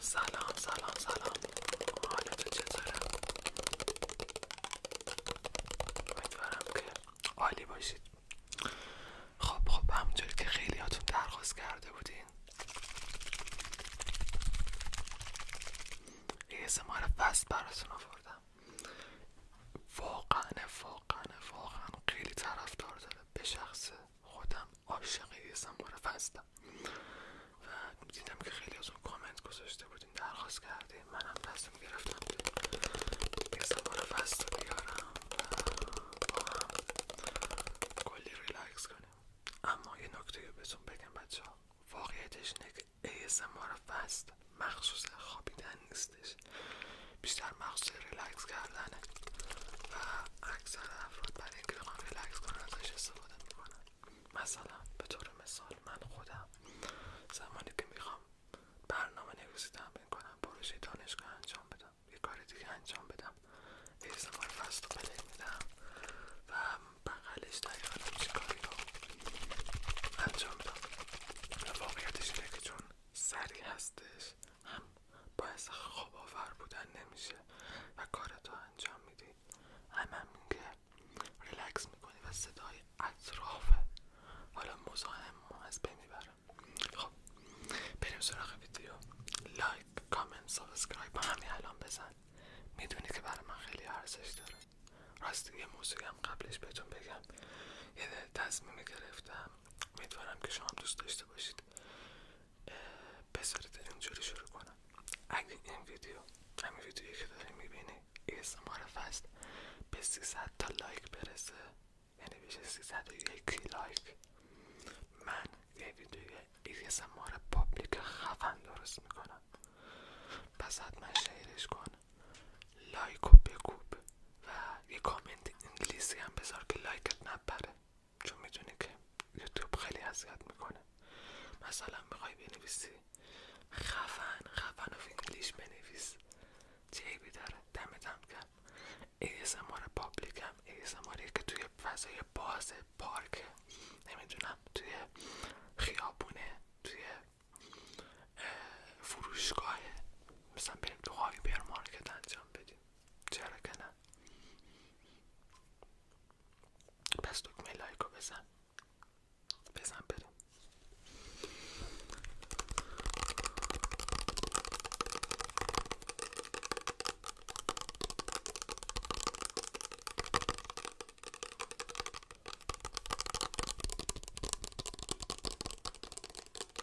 سلام سلام سلام حالتون چطوره؟ امیدوارم که عالی باشید خب خب همونجوری که خیلیاتون درخواست کرده بودین ASMR فست براتون آوردم واقعا واقعا واقعا خیلی طرفدار داره به شخص خودم عاشق ASMR و دیدم که خیلی از اون کامنت گذاشته بودین درخواست کرده منم تصمیم گرفتم که ASMR فست رو بیارم و با کلی ریلاکس کنیم اما یه نکته رو بهتون بگم بچه ها واقعیتش اینه که ASMR فست مخصوص خوابیدن نیستش بیشتر ریلکس کردنه و اکثر افراد برای اینکه میخوام ریلکس کنن ازش استفاده میکنن مثلا به طور مثال من خودم زمانی که میخوام برنامه نویسی تمرین کنم بروش دانشگاه انجام بدم یه کار دیگه انجام بدم ASMR فست و پلی میدم و بغلش دقیقا همچین کاری رو انجام بدم و واقعیتش اینه که چون سریع هستش هم باعث خواب آور بودن نمیشه و کارتو انجام میدی هم همین که ریلکس میکنی و صدای اطرافه حالا مزاحم از بین میبره خب بریم سراغ ویدیو لایک کامنت سابسکرایب همین الان بزن میدونی که برای من خیلی ارزش داره راستی یه موسیقی هم قبلش بهتون بگم یه تصمیم گرفتم امیدوارم که شما دوست داشته باشید باشید بذارید اینجوری شروع کنم اگه این ویدیو همین ویدیوی که داری میبینی اسماره فست به 300 تا لایک برسه یعنی بشه یکی لایک من یه ویدیوی ASMR پابلیک خفن درست میکنم پس من شیرش کن لایک و بکوب و یه کامنت انگلیسی هم بذار که لایکت نبره چون میدونی که یوتیوب خیلی اذیت میکنه مثلا میخوای بنویسی خفن خفن و انگلیش بنویس جیبی داره دمت هم کرد ASMR پابلیک هم که توی فضای باز پارک نمیدونم توی خیابونه توی فروشگاه مثلا بریم تو هایپر مارکت انجام بدیم چرا که نه پس دکمه لایک بزن بزن بریم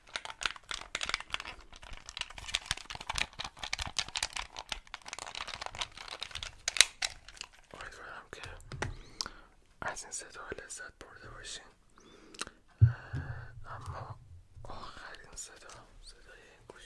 امیدوارم که از این صدا لذت برده باشین اما آخرین صدا صدای این گوشی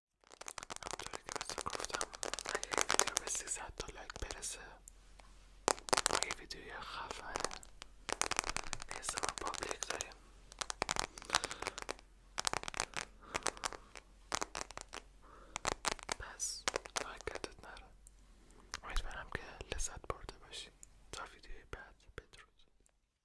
همونطوری که مثلا گفتم اگه این ویدیو به 300 تا لایک برسه یه خفه پابلیک داریم پس ناکتت نره امیدوارم که لذت برده باشی تا ویدیوی بعد بدرود